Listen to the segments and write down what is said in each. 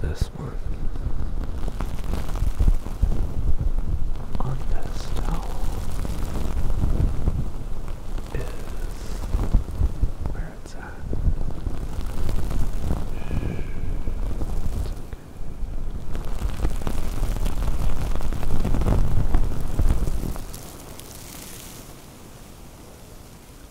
This one on this towel is where it's at. It's okay.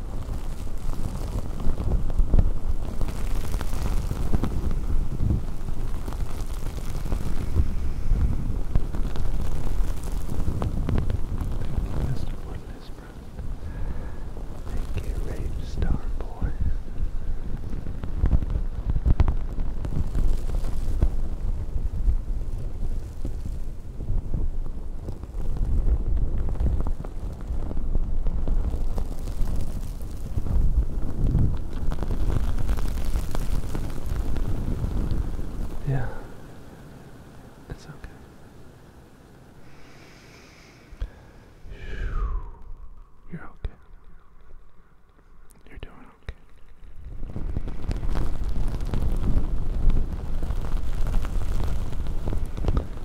you, Mr. Woodlesbrook. Thank you, Rain Star yeah, it's okay. You're okay. You're doing okay. It's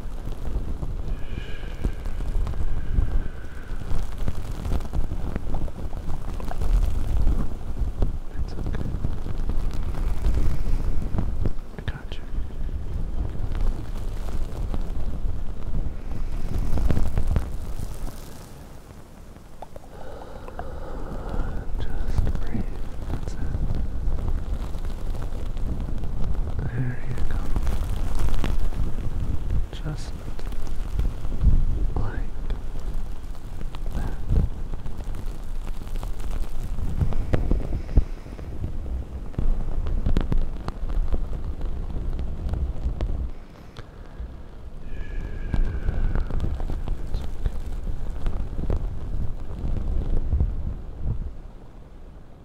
okay. I got you. Just breathe. There you go. Just like that. Okay.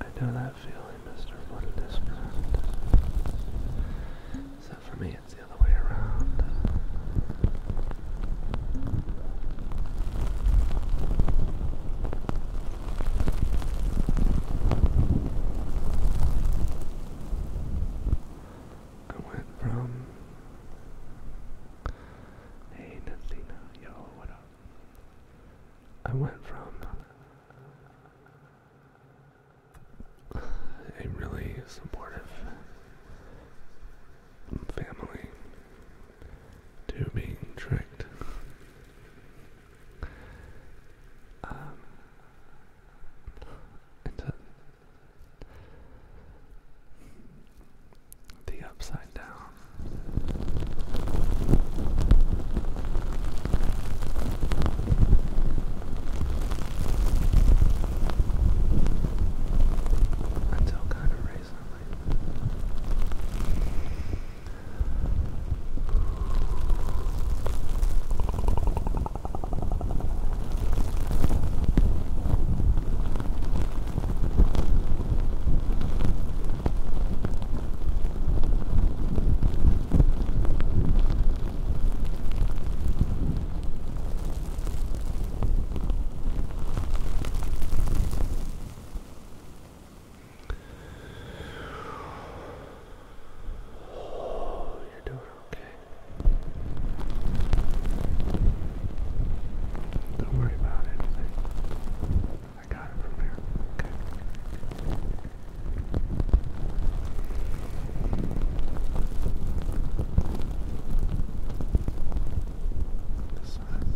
I know that feeling, Mr. One Disparate. Except for me, it's the other way around. I went from Hey Nathina, yo, what up? I went from a really supportive family to being tricked. Um, into the upside down. Until kind of recently. Oh, you're doing okay. Don't worry about anything. I got it from here. Okay. This side.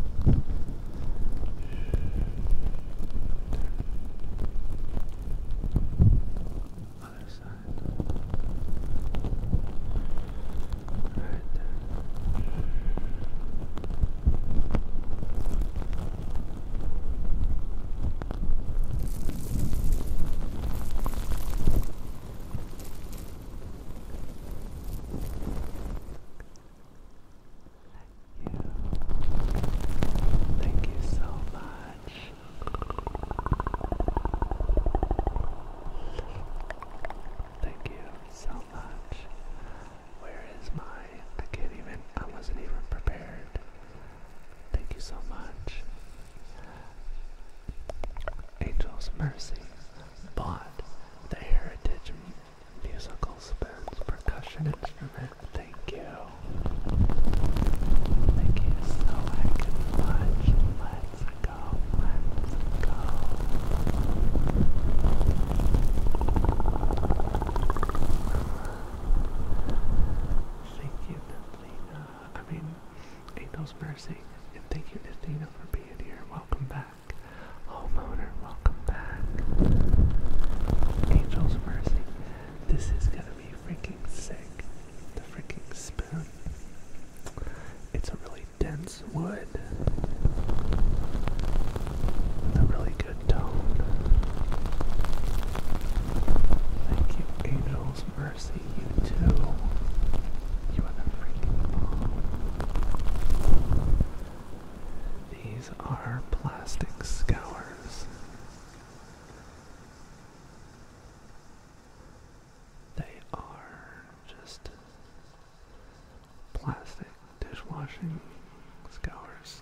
Other side. Right Thank you. Thank you so much. Thank you so much. Where is my? I can't even. I wasn't even prepared. Thank you so much. Angel's Mercy bought the Heritage musicals Spoons percussion instrument. Thank you. Thank you so much, Let's go, let's go. Thank you, Nathina. I mean, ain't mercy. And thank you, Nathina, for being here. Welcome back. Homeowner, welcome back. Angel's Mercy. This is gonna be freaking sick. The freaking spoon. It's a really dense wood a really good tone. Thank you, Angel's Mercy, you too. You are the freaking bomb. These are plastic scours. They are just plastic dishwashing scours.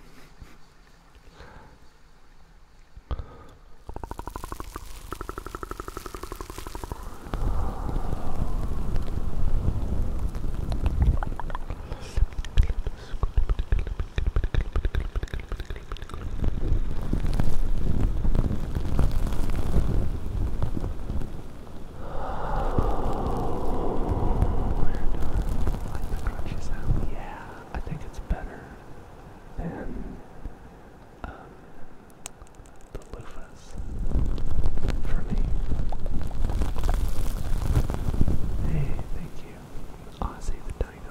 Oh, we're done. Like the crunchy sound. Yeah, I think it's better than the loofahs for me. Hey, thank you. Ozzy the Dino.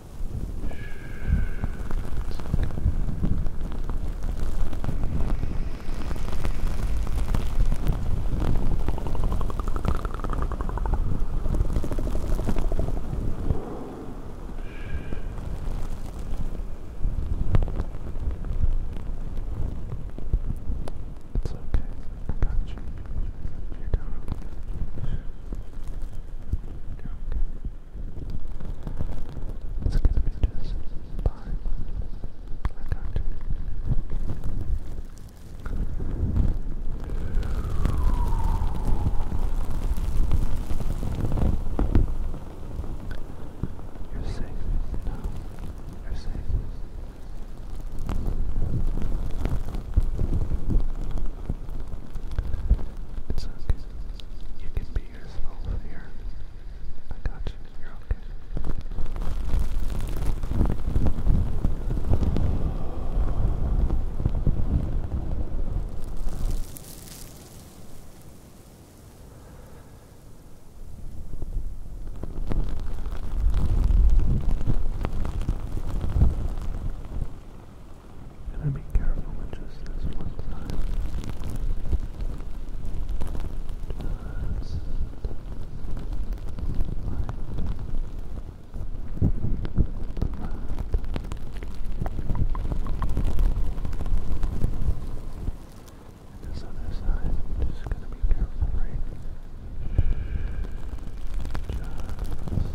It's okay. I got you. you okay. Skip Pictures by Blackout. You're safe now. You're safe. It's okay. You can be yourself here. I got you. You're okay. I'm to be careful with just this one time. Just and this other side, just gonna be careful, right? Just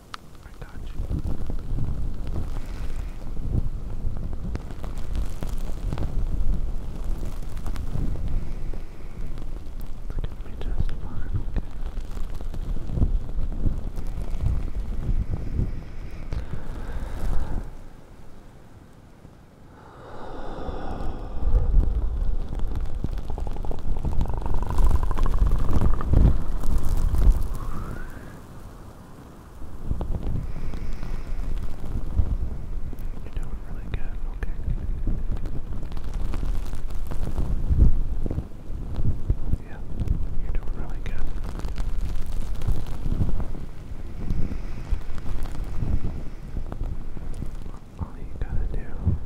I got you. It's gonna be just fine, okay? Relax. You're doing really good, okay. Yeah, you're doing really good. All you gotta do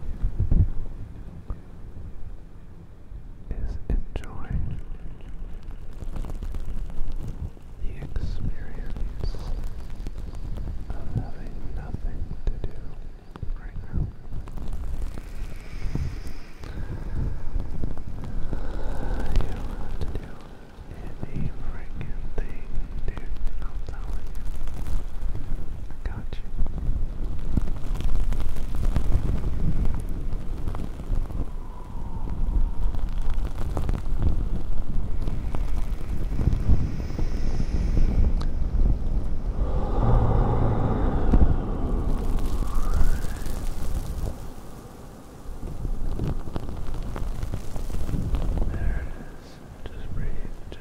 is enjoying the experience of having nothing to do right now. You do to do any freaking thing, dude. I'm telling you. I got you. There it is. Just breathe. Just breathe.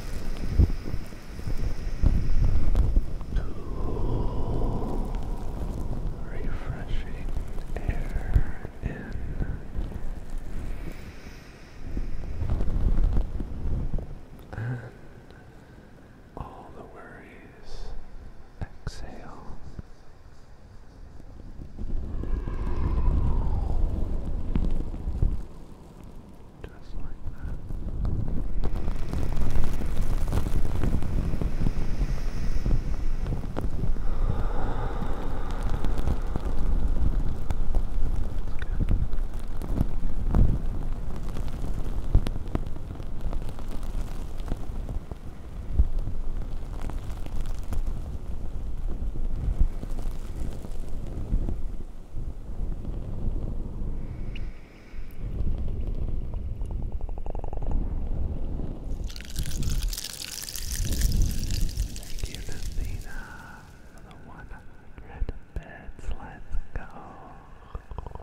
Cool, refreshing air in. And all the worries exhale. Just like that. Good. Thank you, Lucina, for the 100 bits. Let's go.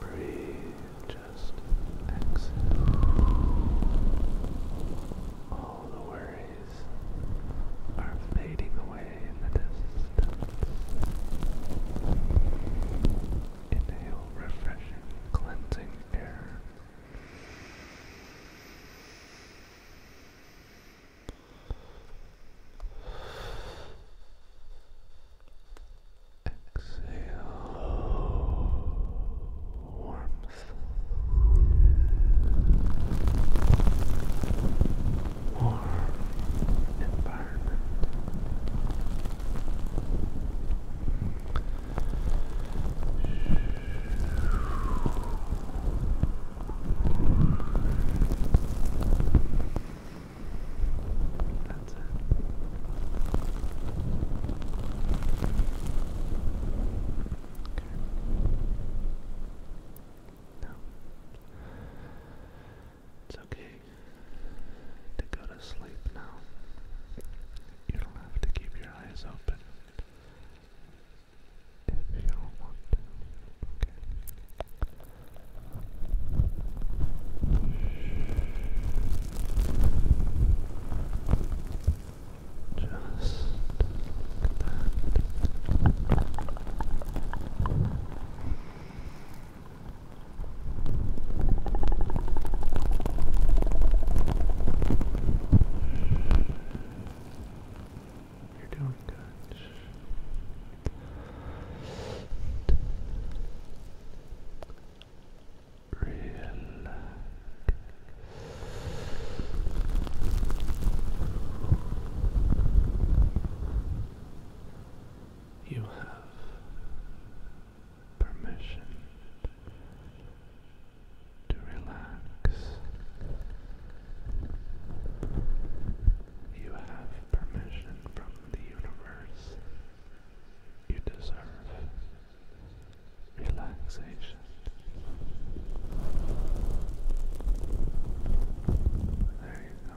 Breathe, just exhale. All the worries are fading away in the distance. Inhale refreshing, cleansing air. Exhale warmth warm environment Exhale. It's okay to go to sleep now. You don't have to keep your eyes open if you don't want to. Just You're doing good. Relax. You have permission to relax. You have permission from the universe. You deserve relaxation. There you go. There you go.